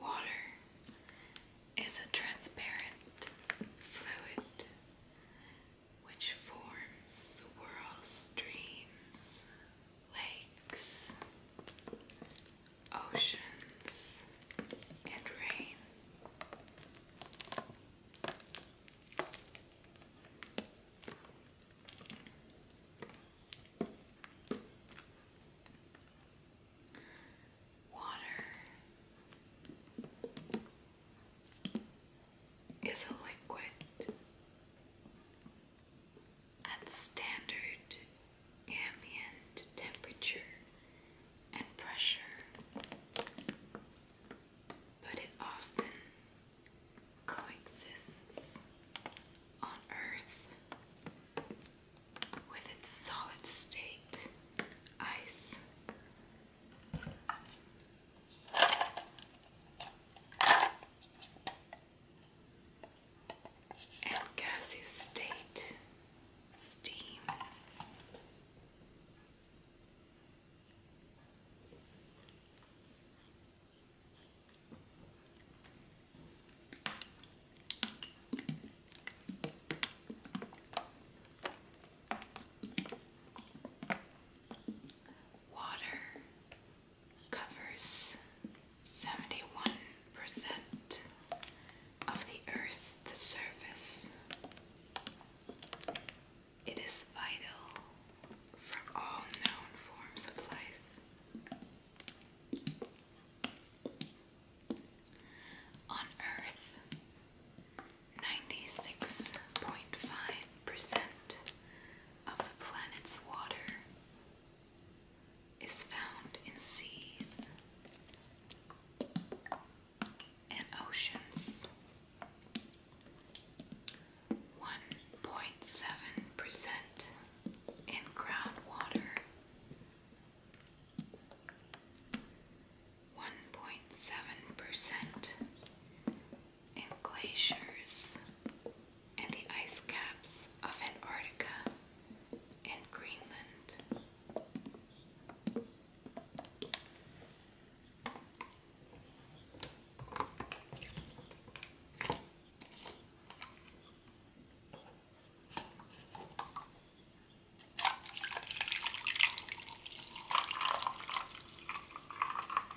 Water is a transparent fluid which forms the world's streams, lakes, oceans, and rain. Water is a liquid at standard ambient temperature and pressure, but it often coexists on Earth with its solid state ice and gaseous state, steam. Water covers 71% of the Earth's surface. It is vital for all known forms of life. On Earth, 96.5% of the planet's water is found in seas and oceans. 1.7% in groundwater. 1.7% in glaciers and the ice caps of Antarctica and Greenland.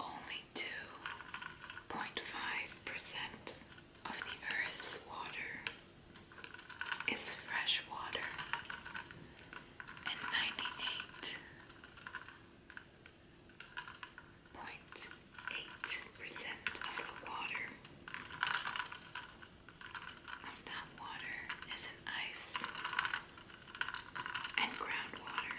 Only 2.5% of the Earth's water is fresh water, and 98.8% of the water of that water is in ice and groundwater.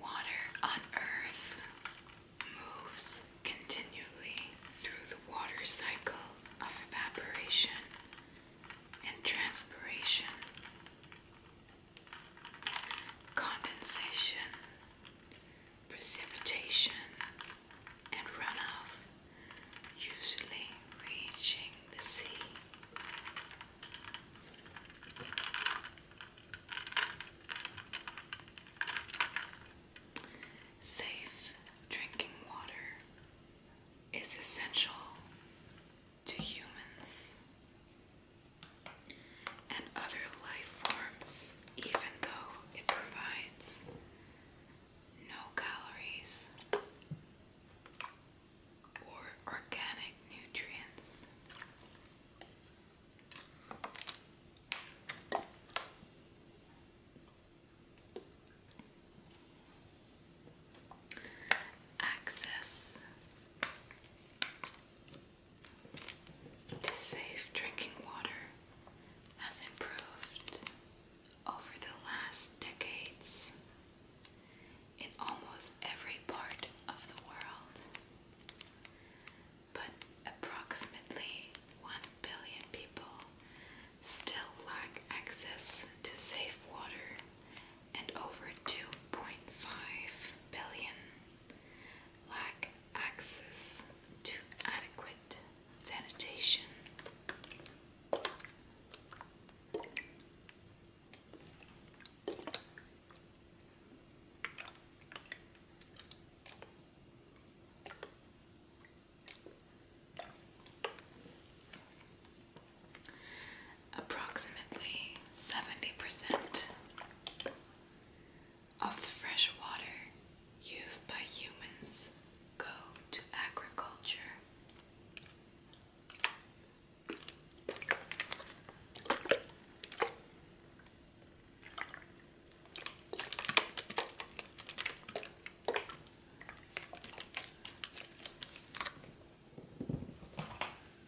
Water on Earth moves continually through the water cycle of evaporation and transpiration condensation, precipitation, and runoff, usually reaching the sea. Safe drinking water is essential to humans and other life forms, even though it provides no calories or organic nutrients. Access to safe drinking water has improved over the last decades in almost every part of the world. But approximately 1 billion people still lack access to safe water, and over 2.5 billion lack access to adequate sanitation. Approximately 70% of the fresh water used by humans go to agriculture.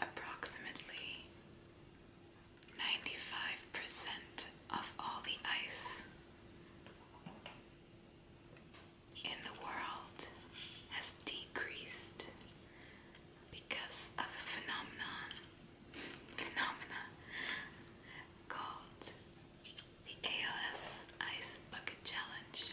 Approximately 95% of all the ice in the world has decreased because of a phenomenon phenomena called the ALS Ice Bucket Challenge.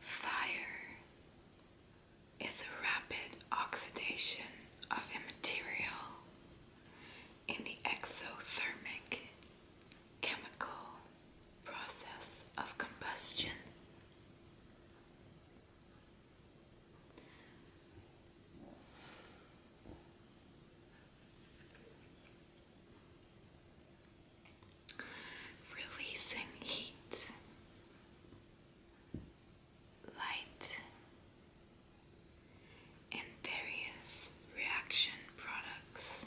Fire is a rapid oxidation of a material in the exothermic chemical process of combustion. Releasing heat, light, and various reaction products.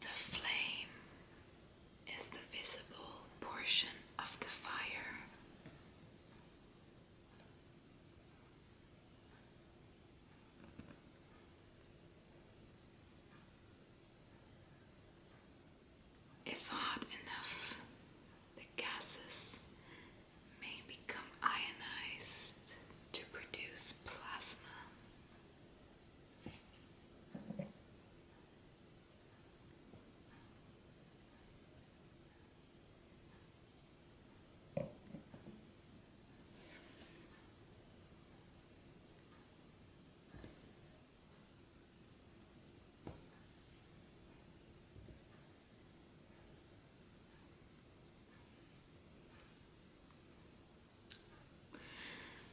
The flame is the visible portion of the fire. If hot enough, the gases may become ionized to produce plasma.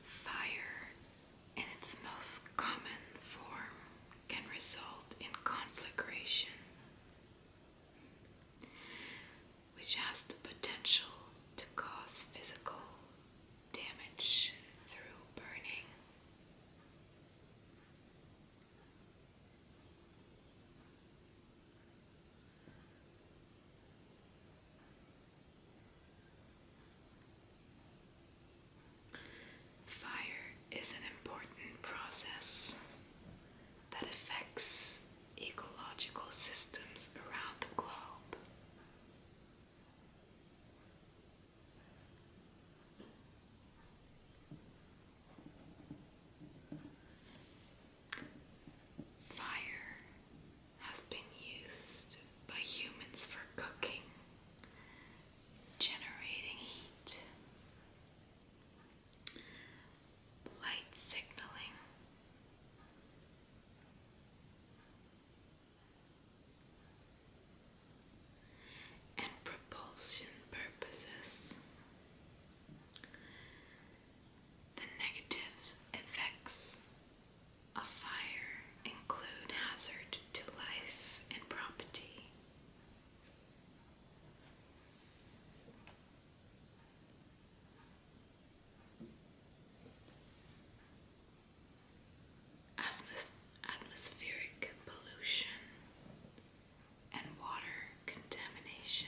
Fire, in its most common form, can result in conflagration, which has the potential to cause physical damage through burning. Fire is an important process that affects ecological systems around the globe. Fire has been used by humans for cooking, generating heat, light signaling. And propulsion purposes. The negative effects of fire include hazard to life and property. atmospheric pollution and water contamination.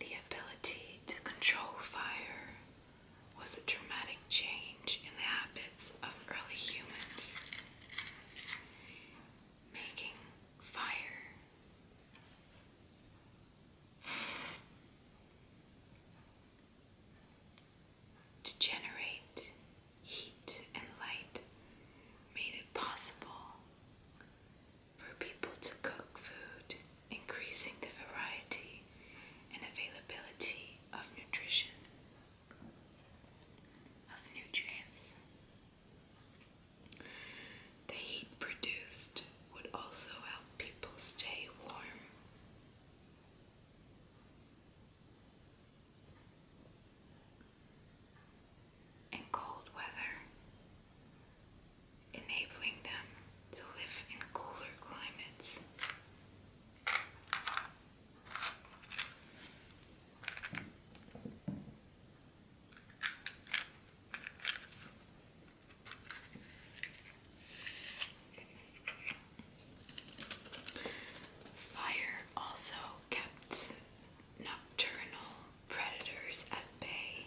The ability to control fire was a dramatic change in the habits of early humans, making fire to generate heat and light made it possible for people to cook food, increasing the variety and availability of nutrition, of nutrients. The heat produced would also help people stay warm and cold weather, enabling them to live in cooler climates. Fire also kept nocturnal predators at bay.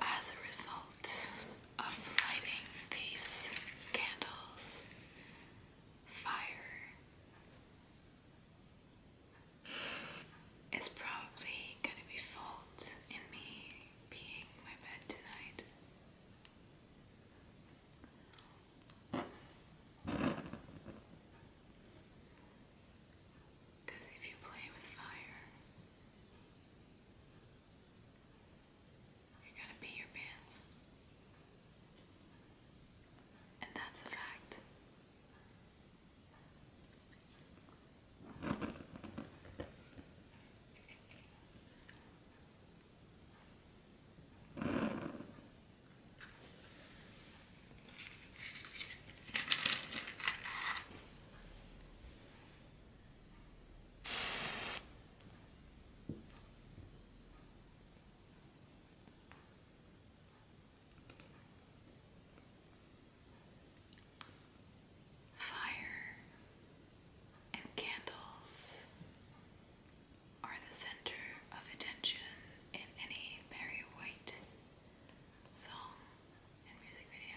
as a result of lighting these candles, fire is probably going to be fault in me being my bed tonight. Because if you play with fire, you're gonna be your pants. And that's a fact. Fire and candles are the center of attention in any Barry White song and music video.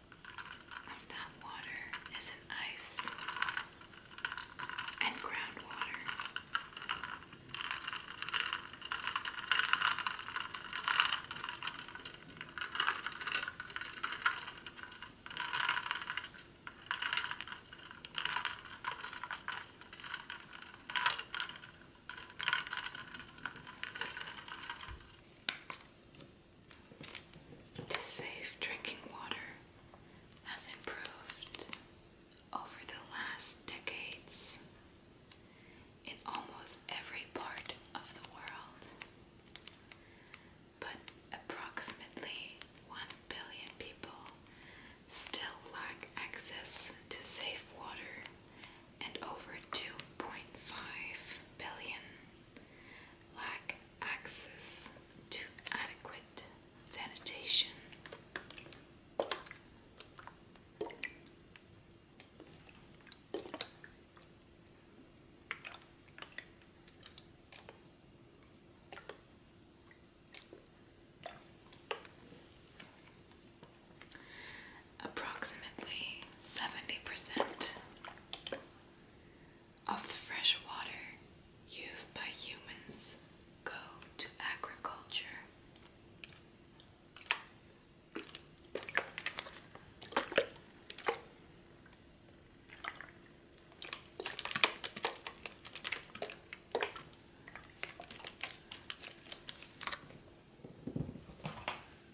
of that water is ice and groundwater to safe drinking water has improved over the last decades in almost every part of the world. But approximately 1 billion people still lack access to safe water, and over 2.5 billion lack access to adequate sanitation. Approximately seventy percent of the fresh water used by humans go to agriculture.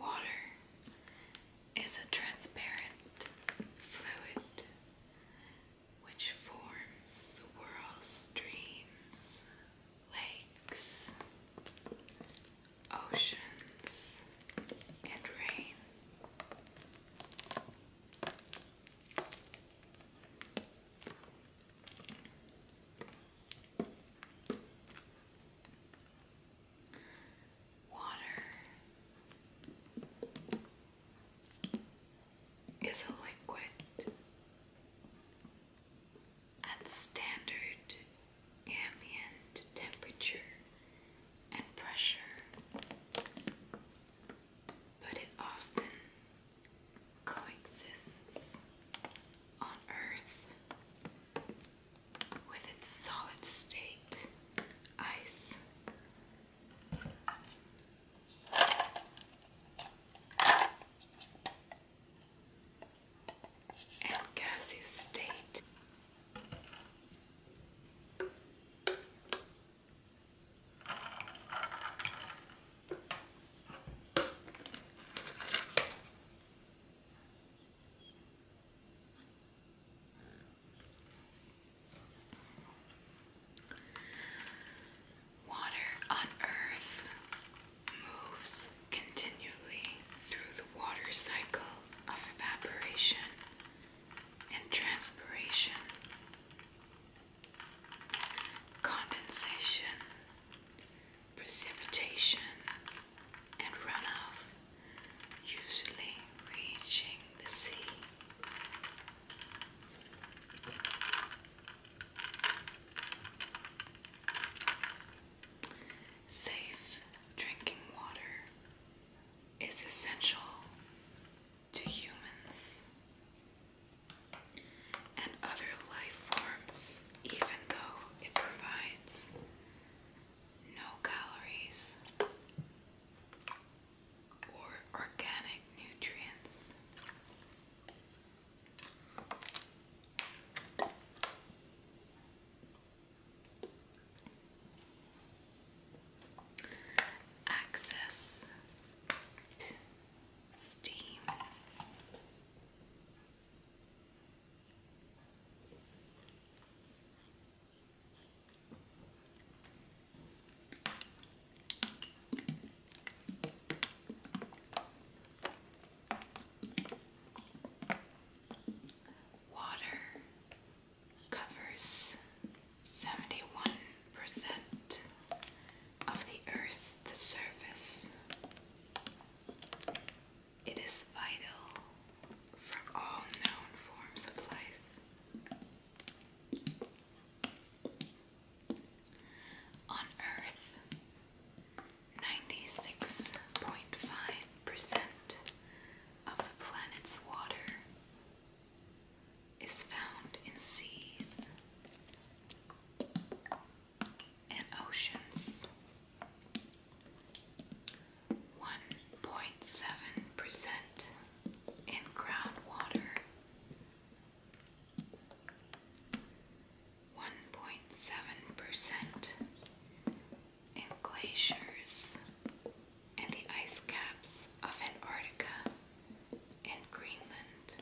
Water is a transparent fluid which forms the world's streams, lakes, oceans, and rain. Water is a liquid at standard ambient temperature and pressure, but it often coexists on Earth with its solid state ice. And gaseous state. Water on Earth moves continually through the water cycle of evaporation and transpiration, condensation, precipitation, and run off, usually reaching the sea. Safe drinking water is essential to humans and other life forms, even though it provides no calories or organic nutrients. Access steam. Water covers 71% of the Earth's surface. It is vital for all known forms of life. On Earth, 96.5% of the planet's water is found in seas and oceans. 1.7% in groundwater, 1.7% in glaciers and the ice caps of Antarctica and Greenland.